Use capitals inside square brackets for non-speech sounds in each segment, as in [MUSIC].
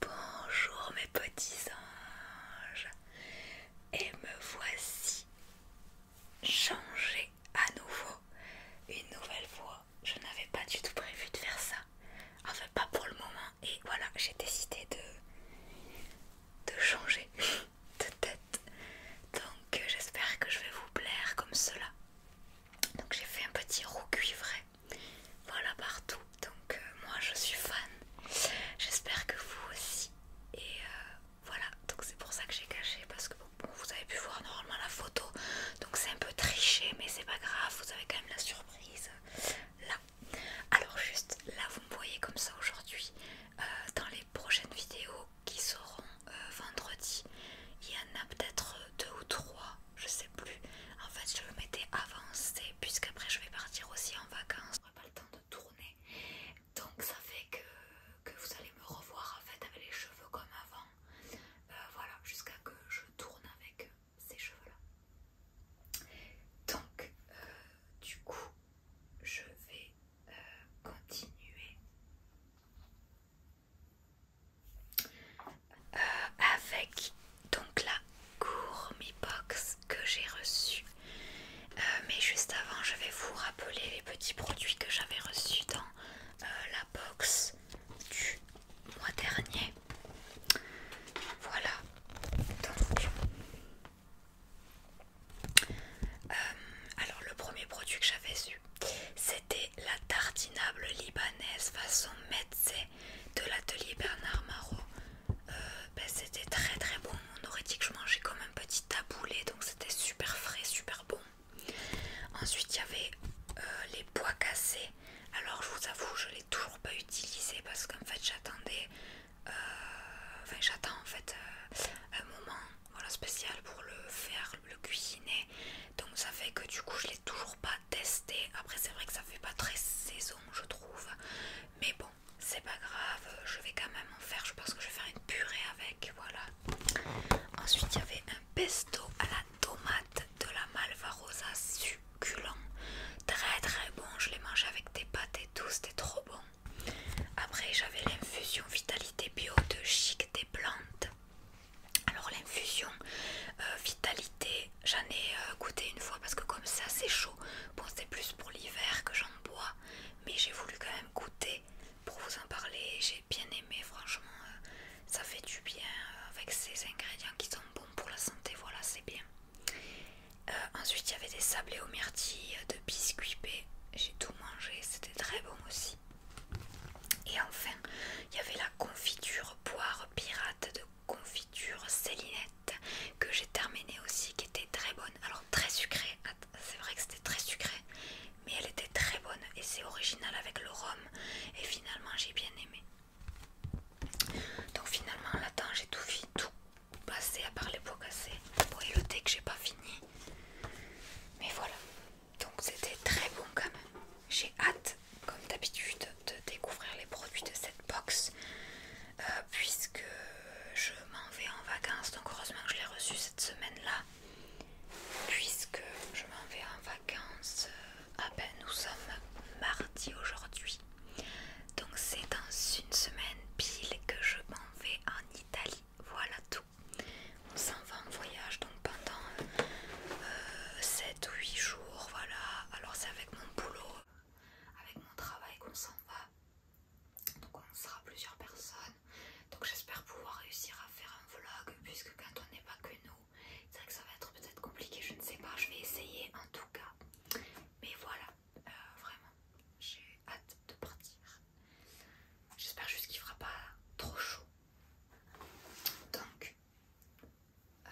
Bonjour mes petits anges et me voici changer à nouveau une nouvelle voix Je n'avais pas du tout prévu de faire ça, enfin pas pour le moment et voilà j'ai décidé de, de changer de tête. Donc euh, j'espère que je vais vous plaire comme cela. Donc j'ai fait un petit roux cuivré. Voilà partout. Donc euh, moi je suis fan. J'espère que vous aussi. Et euh, voilà. Donc c'est pour ça que j'ai caché. Parce que vous avez pu voir normalement la photo. Donc c'est un peu triché. Mais c'est pas grave. Vous avez quand même la surprise. Là. Alors juste là vous me voyez comme ça aujourd'hui. dans les prochaines vidéos qui seront euh, vendredi. Il y en a peut-être deux ou trois, je sais plus. En fait, je avancé puisque après je vais partir aussi en vacances. J'aurai pas le temps de tourner. Donc ça fait que, que vous allez me revoir en fait avec les cheveux comme avant. Euh, voilà, jusqu'à que je tourne avec ces cheveux-là. Donc, euh, du coup, je vais continuer euh, avec donc la gourmet box que j'ai reçue. Euh, mais juste avant, je vais vous rappeler les petits produits que j'avais reçus dans euh, la box du mois dernier. Voilà. Donc, euh, alors le premier produit que j'avais eu, c'était la tartinable libanaise façon médecin de l'atelier Bernard Marot. Euh, ben, c'était très très bon, on aurait dit que je mangeais comme un petit taboulé, donc c'était super frais, super bon. Ensuite il y avait euh, les pois cassés. Alors je vous avoue, je l'ai toujours pas utilisé parce qu'en fait j'attendais, j'attends en fait un moment voilà spécial pour le faire le cuisiner donc ça fait que du coup je l'ai toujours pas testé après c'est vrai que ça fait pas très saison je trouve mais bon c'est pas grave je vais quand même en faire je pense que je vais faire une purée avec voilà ensuite il y avait un pesto à la tomate de la malvarosa succulent très très bon je l'ai mangé avec des pâtes et tout c'était trop bon après j'avais l'infusion vitalité bio de chic des plantes. Alors l'infusion euh, vitalité, j'en ai euh, goûté une fois parce que comme c'est assez chaud. Bon c'est plus pour l'hiver que j'en bois, mais j'ai voulu quand même goûter pour vous en parler. J'ai bien aimé franchement, euh, ça fait du bien avec ces ingrédients qui sont bons pour la santé, voilà c'est bien. ensuite il y avait des sablés aux myrtilles de j'ai tout mangé, c'était très bon aussi. Et enfin, il y avait la confiture poire pirate de confiture Célinette que j'ai terminée aussi, qui était très bonne. Alors très sucrée, c'est vrai que c'était très sucré, mais elle était très bonne et c'est original avec le rhum. Et finalement, j'ai bien aimé. Donc finalement, là-dedans, j'ai tout, tout, passer à parler les casser Pour Bon, que j'ai pas fini. Mais voilà. Donc c'était très bon quand même. J'ai hâte, comme d'habitude, de découvrir les produits de cette box. Euh, puisque je m'en vais en vacances. Donc heureusement que je l'ai reçu cette semaine-là. Puisque je m'en vais en vacances. Ah ben nous sommes mardi aujourd'hui. Donc c'est dans une semaine pile que je pense on en Italie. Voilà tout. On s'en va en voyage donc pendant 7 euh, ou 8 jours. Voilà. Alors c'est avec mon boulot, avec mon travail qu'on s'en va. Donc on sera plusieurs personnes. Donc j'espère pouvoir réussir à faire un vlog puisque quand on n'est pas que nous, c'est vrai que ça va être peut-être compliqué, je ne sais pas, je vais essayer en tout cas. Mais voilà, euh, vraiment j'ai hâte de partir. J'espère juste qu'il fera pas trop chaud. Donc euh,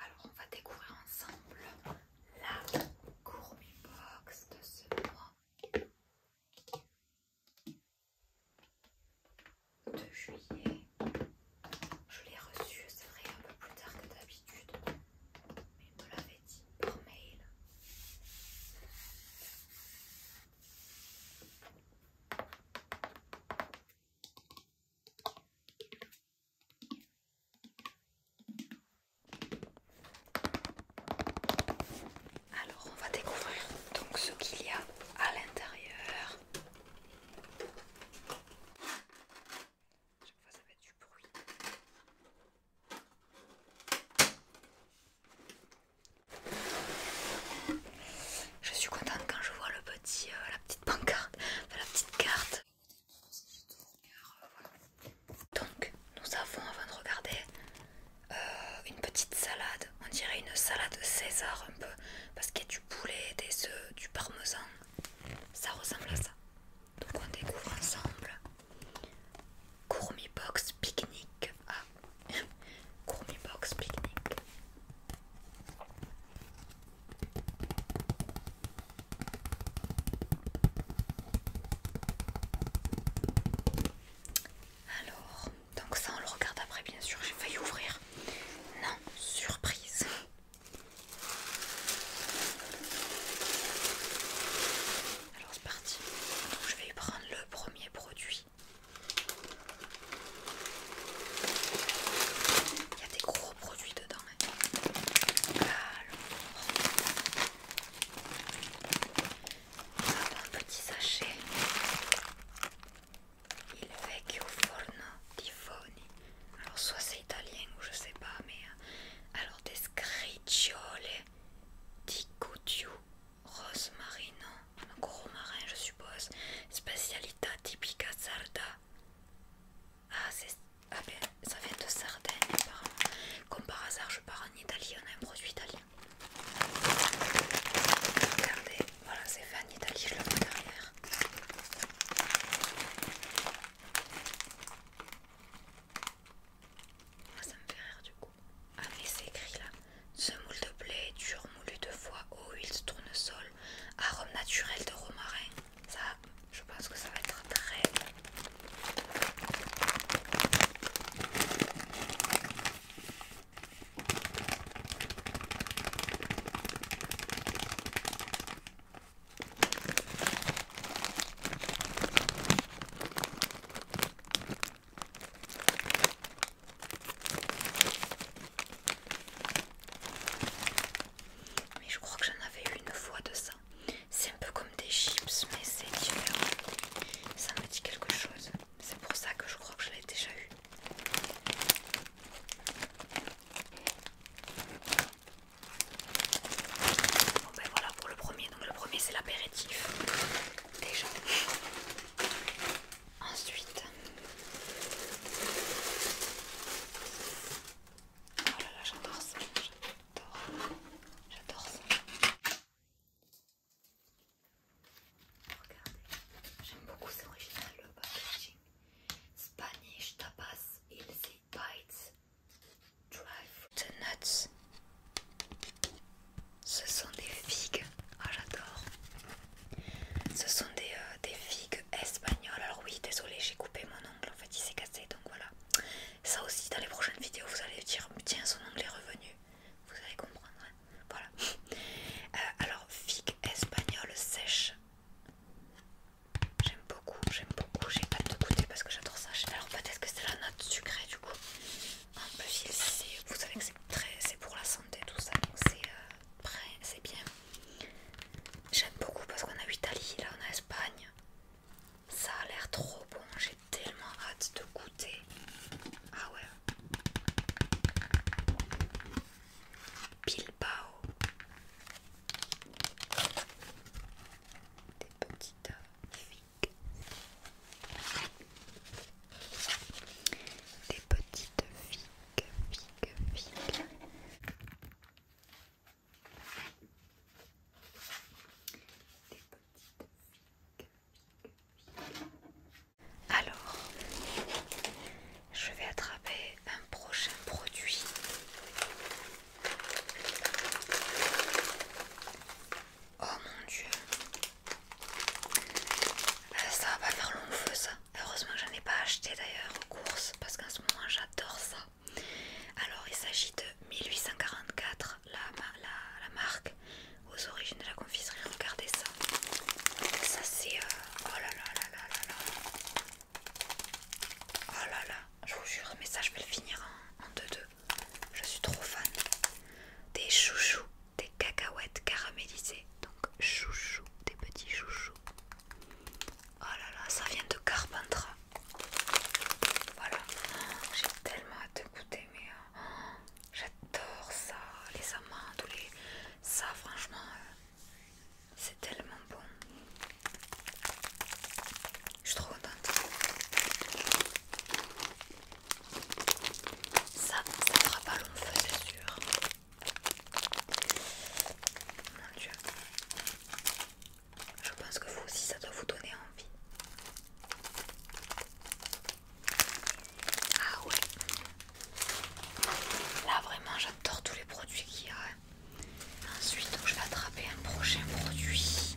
alors on va découvrir ensemble la gourmet box de ce mois de juillet. Je l'ai reçu, c'est vrai, un peu plus tard que d'habitude, mais l'avait alors on va découvrir donc ce qu'il y a à l'intérieur. Chaque fois, ça fait du bruit. Je suis contente quand je vois le petit, euh, la petite pancarte, la petite carte. Donc, nous avons, avant de regarder, euh, une petite salade. On dirait une salade César un peu, parce qu'il y a du poulet, des œufs, du parmesan. Ça ressemble à ça. Donc on découvre ensemble Gourmet Box Picnic. Ah, [LAUGHS] Gourmet Box Picnic. Alors, donc ça on le regarde après bien sûr, j'ai y ouvrir. Non, surprise. Alors c'est parti. je vais prendre le premier produit. Il y a des gros produits dedans. Hein. Alors, un petit sachet. Il vecchio forno di foni alors soit c'est italien ou je sais pas, mais euh, alors des scricciole di rosmarino, rose gros marin je suppose, Specialita tipica sarda. Ah, ah ben, ça vient de Sardaigne apparemment. Comme par hasard, je pars en Italie, on a un produit italien. Regardez, voilà, c'est fait en Italie, je le vois derrière. Moi ça me fait rire du coup. Ah mais c'est écrit là. Semoule de blé, dur moulu deux fois. eau, huile tournesol, arôme naturel de romarin. Ça, je pense que ça va être très... bon mais je crois que j'en avais eu une fois de ça. C'est un peu comme des chips, mais c'est différent. Ça me dit quelque chose. C'est pour ça que je crois que je l'ai déjà eu. Bon ben voilà pour le premier. Donc le premier c'est l'apéritif déjà. Ensuite. Oh là là, j'adore ça, j'adore, j'adore ça. Regardez, j'aime beaucoup, c'est original le packaging. Spanish tapas, il bites dry nuts. Ce sont des figues. Ah, j'adore. Ce sont des, euh, des figues espagnoles. Alors, oui, désolé, j'ai coupé mon ongle. En fait, il s'est cassé. Donc voilà. Ça aussi, dans les prochaines vidéos, vous allez dire Tiens, son ongle est revenu. Vous allez comprendre. Hein. voilà. Euh, alors, figues espagnoles sèches. J'aime beaucoup, j'aime beaucoup. J'ai pas de goûter parce que j'adore ça. Alors peut-être que c'est la note sucrée du coup. Ah, en plus, vous savez que c'est pour la santé tout ça, donc c'est euh, bien. J'aime beaucoup parce qu'on a Italie, là on a Espagne. Ça a l'air trop bon, j'ai tellement hâte de goûter. Ah ouais. Bilbao. Des petites figues. Des petites figues, figues, figues. Des petites figues. Alors, je vais attraper un prochain produit. Oh mon dieu, euh, ça va pas faire long feu ça. Heureusement que j'en ai pas acheté d'ailleurs aux courses parce qu'en ce moment j'adore ça. Alors il s'agit de 1844, la, la, marque aux origines de la confiserie. Regardez ça, ça c'est euh, oh là là là là là là, Oh là là, je vous jure, mais ça je vais le finir en 2-2. Je suis trop fan. Des chouchous, des cacahuètes caramélisées. Donc chouchou, des petits chouchous. Oh là là, ça vient de Carpentras. Voilà, j'ai tellement hâte de goûter, mais oh, j'adore ça. Les amandes, les... ça franchement, euh, c'est tellement bon. Je suis trop contente. Ça, ça fera pas long feu, c'est sûr. Mon dieu. Je pense que vous aussi, ça doit vous donner envie. Ah ouais. Là, vraiment, j'adore tous les produits qu'il y a. Ensuite, je vais attraper un prochain produit.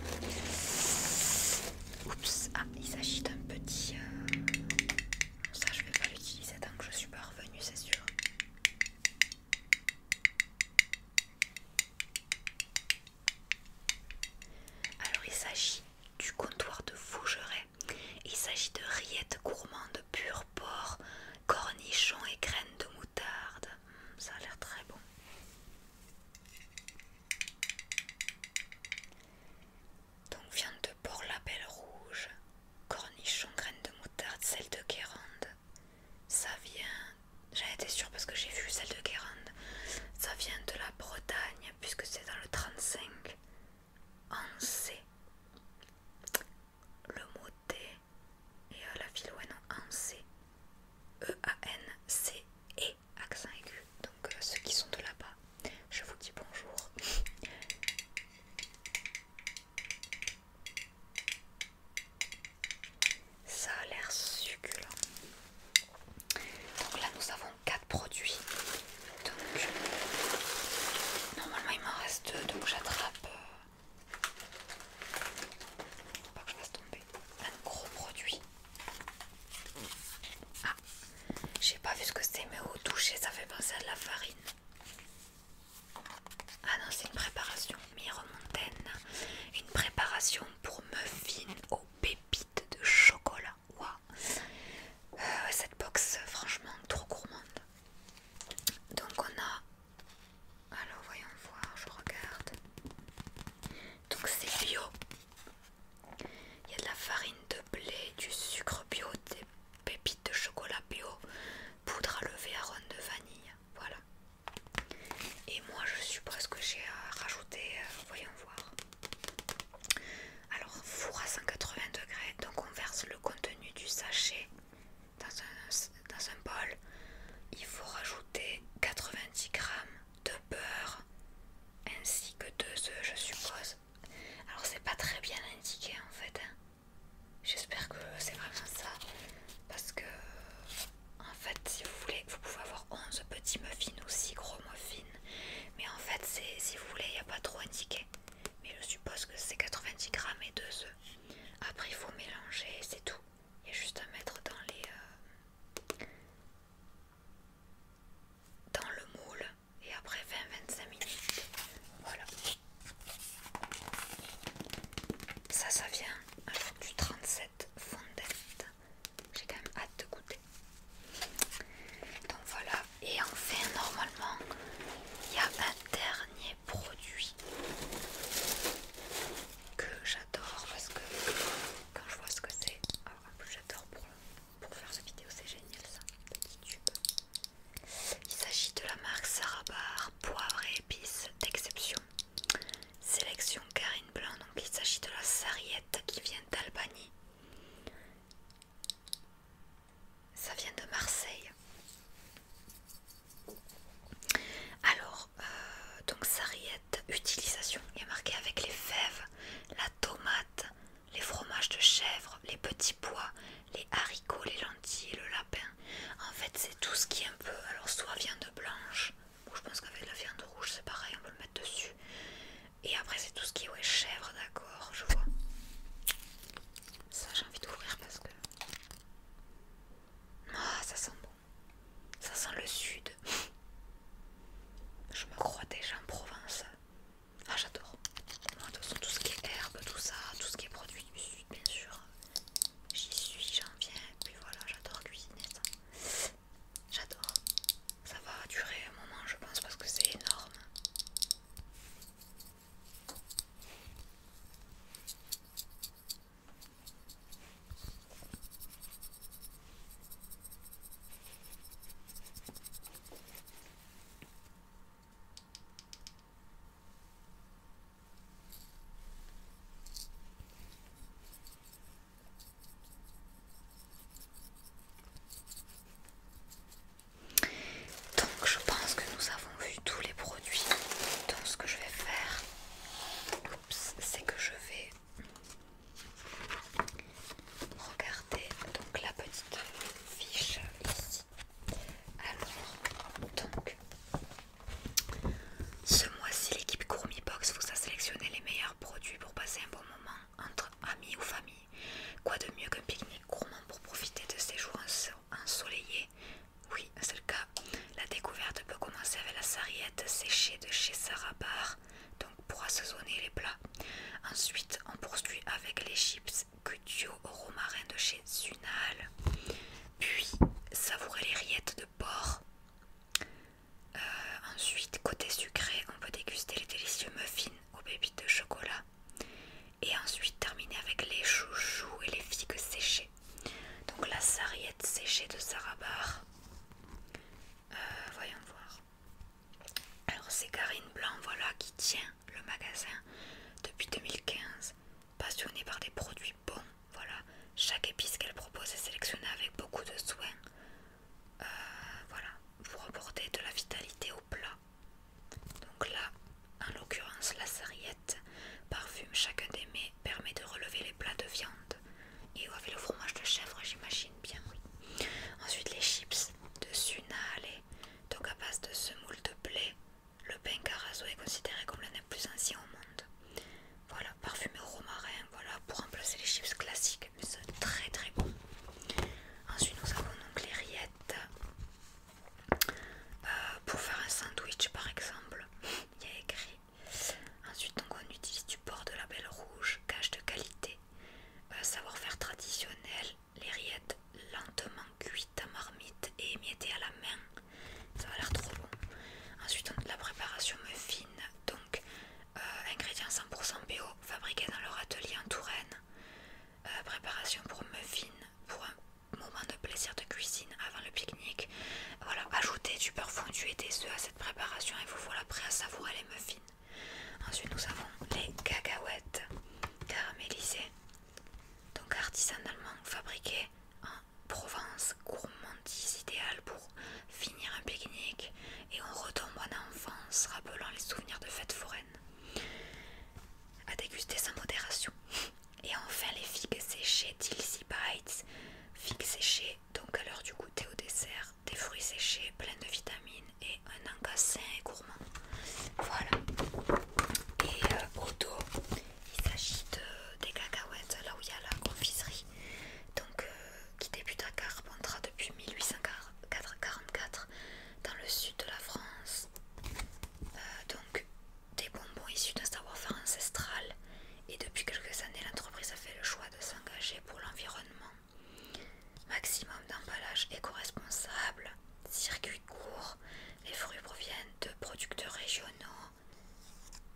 Oups, ah, il s'agit d'un petit. Euh, ça, je vais pas l'utiliser tant que je suis pas revenue, c'est sûr. Alors, il s'agit du comptoir de fougeret. Il s'agit de rillettes gourmandes pur porc cornichons et graines de moutarde. Hum, ça a l'air très bon. Donc viande de la belle rouge, cornichons, graines de moutarde, celle de Guérande. Ça vient, J'avais été sûre parce que j'ai vu celle de Guérande. Ça vient de la Bretagne puisque c'est dans le 35. C Le mot T et à la philo non e C E-A-N-C-E, accent aigu. Donc euh, ceux qui sont de là-bas, je vous dis bonjour. Ça a l'air succulent. Donc là nous avons quatre produits. Donc, normalement il m'en reste donc j'attrape. Euh, pas que je fasse tomber. Un gros produit. Ah, j'ai pas vu ce que c'était mais au toucher ça fait penser à de la farine. Ah non, c'est une préparation Montaine Une préparation pour muffins aux pépites de chocolat. Waouh! Cette box, franchement, trop gourmande. Donc on a... Alors voyons voir, je regarde. Donc c'est bio. Il y a de la farine de blé, du sucre bio, des pépites de chocolat bio, poudre à lever à de vanille. Voilà. Et moi je suis presque j'ai rajouté, euh, voyons voir. Alors four à 180 degrés, donc on verse le contenu du sachet dans un, bol, il faut rajouter 90 g de beurre ainsi que deux oeufs je suppose. Alors, c'est pas très bien indiqué en fait. Hein. J'espère que c'est vraiment ça parce que, en fait, si vous voulez, vous pouvez avoir 11 petits muffins ou 6 gros muffins, mais en fait, c'est si vous voulez, il n'y a pas trop indiqué mais je suppose que c'est 90 grammes et 2 œufs. Après, il faut mélanger c'est tout. Il y a juste à mettre dans les euh, dans le moule et après 20-25 minutes. Voilà. Ça, ça vient alors du 37 fondette. J'ai quand même hâte de goûter. Donc voilà, et enfin, normalement, il y a un dernier produit que j'adore parce que quand je vois ce que c'est, j'adore pour, faire cette vidéo, c'est génial ça, petit tube. Il s'agit de la marque Sarabar Poivre et épices d'exception. Sélection Karine Blanc, donc il s'agit de la sarriette qui vient d'Albanie. Ça vient de Marseille. Alors, euh, donc sarriette, utilisation, il a marqué avec les fèves, la tomate, les fromages de chèvre, les petits pois, les haricots, les lentilles, le lapin. En fait, c'est tout ce qui est un peu, alors soit viande blanche, ou je pense qu'avec la viande rouge c'est pareil, on peut le mettre dessus, et après, c'est tout ce qui est chèvre, d'accord, je vois. Ça, j'ai envie d'ouvrir parce que. Ah, ça sent bon. Ça sent le sud. Je me crois déjà en Provence. Ah, j'adore. De toute façon, tout ce qui est herbe, tout ça, tout ce qui est produit du sud, bien sûr. J'y suis, j'en viens. Et puis voilà, j'adore cuisiner ça. J'adore ça va durer un moment je pense parce que c'est énorme donc je pense que nous avons vu tous les produits. Donc ce que je vais faire, c'est que je vais regarder donc la petite fiche ici. Alors donc ce mois-ci l'équipe Gourmet Box vous a sélectionné les meilleurs produits pour passer un bon moment entre amis ou famille. Quoi de mieux qu'un pique-nique gourmand pour profiter de ces jours ensoleillés Oui, c'est le cas. La découverte peut commencer avec la sarriette séchée de chez Sarah donc pour assaisonner les plats. Ensuite, on poursuit avec les chips Cutio au romarin de chez Zunal Puis, savourer les rillettes de porc. Euh, ensuite, côté sucré, on peut déguster les délicieux muffins aux pépites de chocolat et ensuite terminer avec les chouchous et les figues séchées. Donc la sarriette séchée de Sarabar. Euh, voyons voir. Alors c'est Karine Blanc voilà qui tient le magasin depuis 2015. Passionnée par des produits bons, voilà. Chaque épice qu'elle propose est sélectionnée avec beaucoup de soin. Euh, voilà, vous reportez de la vitalité au plat. Donc là, en l'occurrence, la sarriette parfume chacun des mets, permet de relever les plats de viande. Et avec le fromage de chèvre, j'imagine bien, oui. Ensuite, les chips de Sunale, donc à base de semoule de blé. Le pain carazo est considéré comme l'un des plus anciens au monde. Voilà, parfumé au romarin, voilà, pour remplacer les chips classiques c'est très très bon. Ensuite, nous avons donc les rillettes euh, pour faire un sandwich par exemple. [LAUGHS] Il y a écrit. Ensuite, on utilise du porc de la belle rouge, cache de qualité, euh, savoir-faire traditionnel, les rillettes lentement cuites à marmite et émiettées à la main. Ça a l'air trop bon. Ensuite, on, la préparation me fine. Donc, euh, ingrédients 100% bio fabriqués dans leur atelier en Touraine, euh, préparation pour muffins pour un moment de plaisir de cuisine avant le pique-nique. Voilà, ajoutez du beurre fondu et des œufs à cette préparation et vous voilà prêt à savourer les muffins. Ensuite, nous avons les cacahuètes caramélisées, donc artisanalement fabriquées en Provence, gourmandise idéale pour finir un pique-nique et on retombe en enfance, rappelant les souvenirs de fêtes foraines. À déguster sans modération. Et enfin les figues séchées Tilsibites Bites, figues séchées donc à l'heure du goûter au dessert, des fruits séchés pleins de vitamines et un sain et gourmand. Voilà. Et euh, il s'agit de, des cacahuètes là où il y a la confiserie, donc euh, qui débute à Carpentras depuis 1840. 444 dans le sud de la France. Euh, donc des bonbons issus d'un savoir-faire ancestral et depuis quelques années l'entreprise a fait le choix de s'engager pour l'environnement. Maximum d'emballage éco-responsable, circuit court, les fruits proviennent de producteurs régionaux,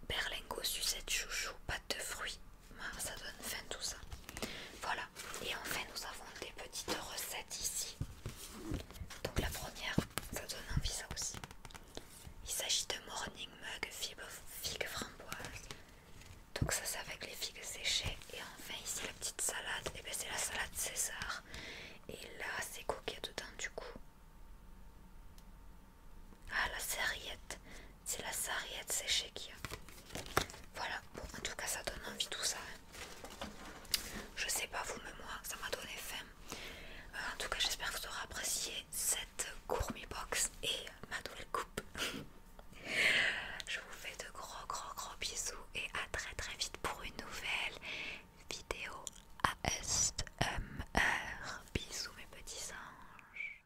berlingots, sucette, chouchou, pâte de fruits ah, ça donne faim tout ça. Voilà. Et enfin, nous avons des petites recettes ici. Donc la première, ça donne envie ça aussi. Il s'agit de Morning Mug Figue Framboise. Donc ça c'est avec les figues séchées. Et enfin ici la petite salade. Et eh bien c'est la salade César. Et là c'est quoi dedans du coup Ah la serviette. C'est la sarriette séchée qu'il y a. Voilà, bon, en tout cas, ça donne envie tout ça. Hein. Je sais pas vous, mais moi, ça m'a donné faim. Euh, en tout cas, j'espère que vous aurez apprécié cette gourmet box et ma nouvelle coupe. [LAUGHS] Je vous fais de gros, gros, gros bisous et à très, très vite pour une nouvelle vidéo ASMR. Bisous, mes petits anges.